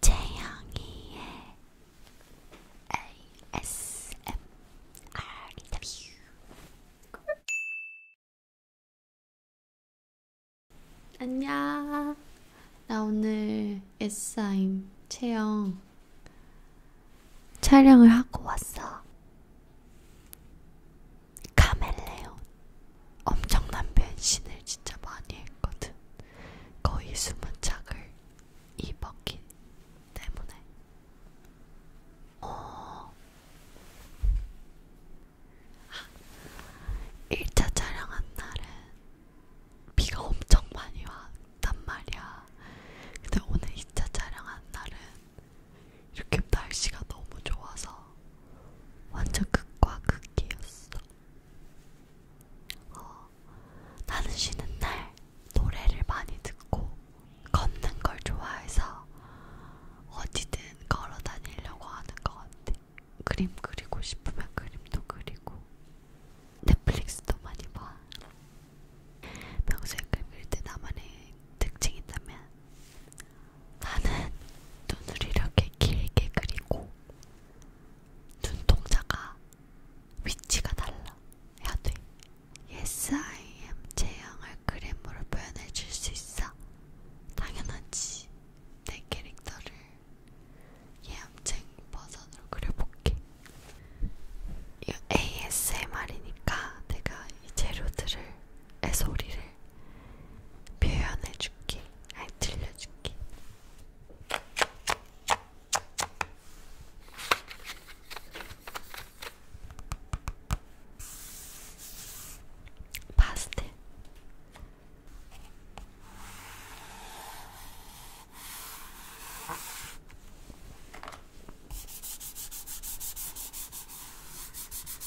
재영이의 ASMRW 안녕 나 오늘 S사임 채영 촬영을 하고 왔어 카멜레온 엄청난 변신을 진짜 많이 했거든. 거의 숨은 착을 입었기 때문에. 어. 1차 촬영한 날은 비가 엄청 많이 왔단 말이야. 근데 오늘 2차 촬영한 날은 이렇게 날씨가 너무 좋아서 완전 극과 극이었어. 어, 나는 쉬는 날 노래를 많이 듣고 걷는 걸 좋아해서 어디든 걸어 다니려고 하는 것 같아. 그림 그리고 싶으면 그림도 그리고 넷플릭스도 많이 봐. 평소에 그릴 때 나만의 특징이 있다면 나는 눈을 이렇게 길게 그리고 눈동자가 위치가 달라 해야 돼. Yes, I am 제형을 그림으로 표현해 줄 수 있어. 당연하지. 내 캐릭터를 예암쟁 버전으로 그려볼게. 이 ASMR이니까 내가 이 재료들을, 애 소리를 표현해줄게. 아니, 들려줄게. 파스텔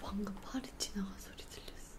방금 팔이 지나가 소리 들렸어.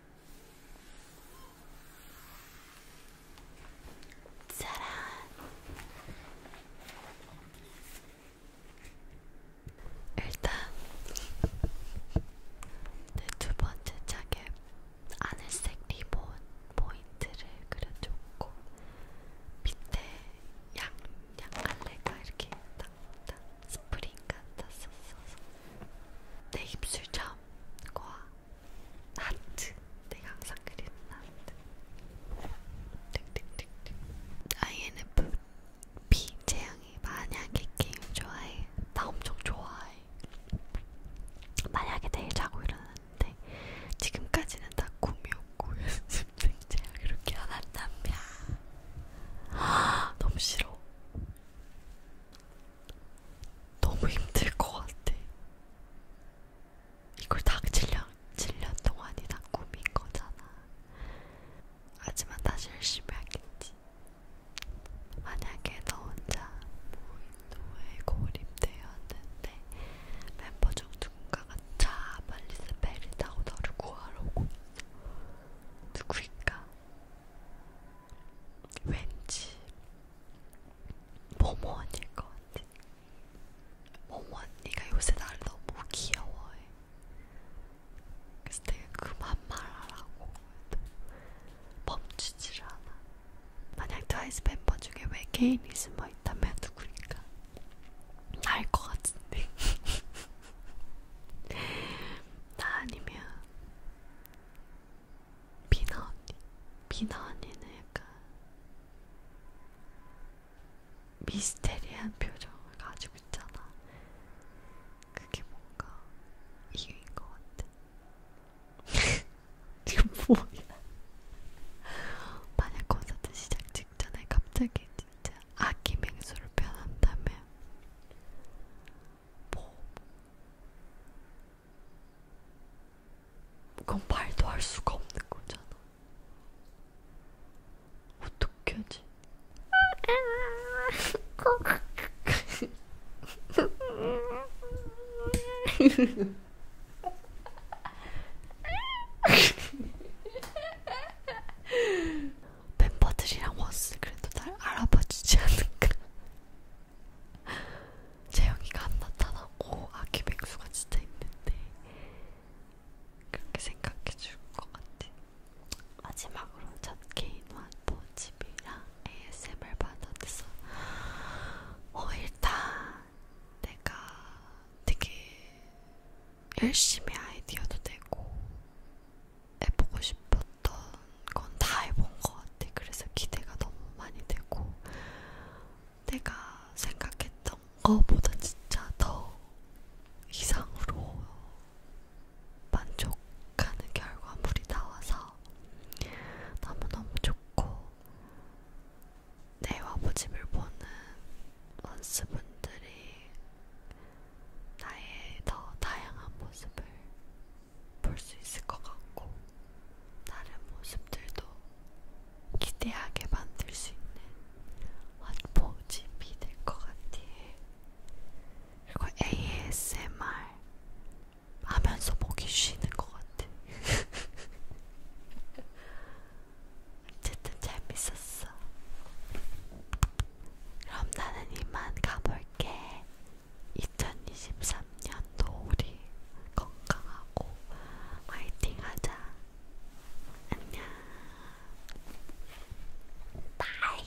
짜란. 일단 내두 번째 짝에 하늘색 리본 포인트를 그려줬고 밑에 양 양갈래가 이렇게 딱딱 스프링 같았었어서 내 입술점과 하트 내가 항상 그리는 하트 득득득득 INFP 재앙이 만약에 게임 좋아해 나 엄청 좋아해 만약에 내일 자고 일어났는데 지금까지는 다 꿈이었고 스프링 재앙 이렇게 안 한답니다 아, 너무 싫어 너무 힘들 것 같아. 이걸 딱 7년, 7년 동안이나 꾸민 거잖아. 하지만 다시 열심히 하겠지. 만약에 너 혼자 모인도에 고립되었는데 멤버 중 누군가가 자 빨리 스페리타고 너를 구하러 오고 누구일까? 왠지 모모 언니일 것 같아. 모모 언니가 요새 나를 너무 귀여워해. 그래서 내가 그만 말하라고 해도 멈추질 않아. 만약 트와이스 멤버 중에 외계인이 숨어 있다면 누구일까? 알 것 같은데. 나 아니면 비나 언니. 비나 언니는 약간 미스테리한 표정을 가지고 있잖아. 그게 뭔가 이유인 것 같아. 지금 뭐야? 만약 콘서트 시작 있잖아요. 갑자기 진짜 아기 맹수를 변한다면 뭐, 뭐 그건 말도 할 수가 없는 거잖아. 어떻게 하지? 멤버들이랑 왔을 그래도 날 알아봐주지 않을까? 재영이가 안 나타나고 아기 백수가 진짜 있는데 그렇게 생각해줄 것 같아. 마지막으로 첫 개인 완보 집이랑 ASMR 받아서 어 일단 내가 되게 열심히 아이디어도 되고 해보고 싶었던 건 다 해본 것 같아. 그래서 기대가 너무 많이 되고 내가 생각했던 것보다 진짜 더 이상으로 만족하는 결과물이 나와서 너무너무 좋고 내 와보집을 보는 원스분들이 나의 더 다양한 모습을 볼 수 있을 것 같고 다른 모습들도 기대하게 만들 수 있는 원보집이 될 것 같아요. 그리고 ASMR 하면서 목이 쉬는 것 같아. 같아. 어쨌든 재밌었어. 그럼 나는 이만 가볼게. 2023년도 우리 건강하고 화이팅 하자. 안녕. 바이.